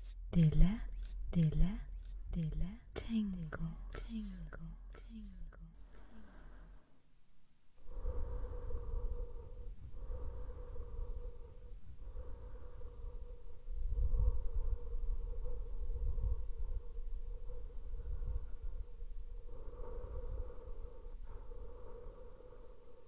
Stille, stille, stille tingle, tingle, tingle.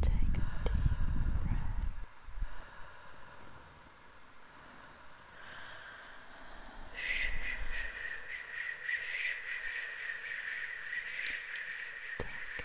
Take a deep breath. Take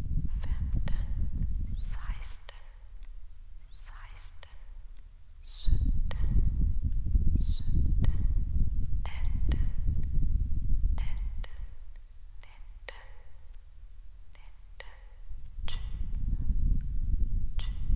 femten, seksten, seksten, sytten, sytten, atten, atten, nitten, nitten, tyve, tyve.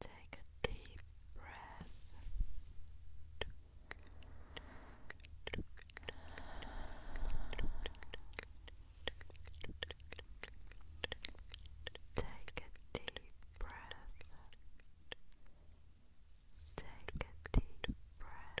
Take a deep breath Take a deep breath. Take a deep breath. Take a deep breath. Take a deep breath.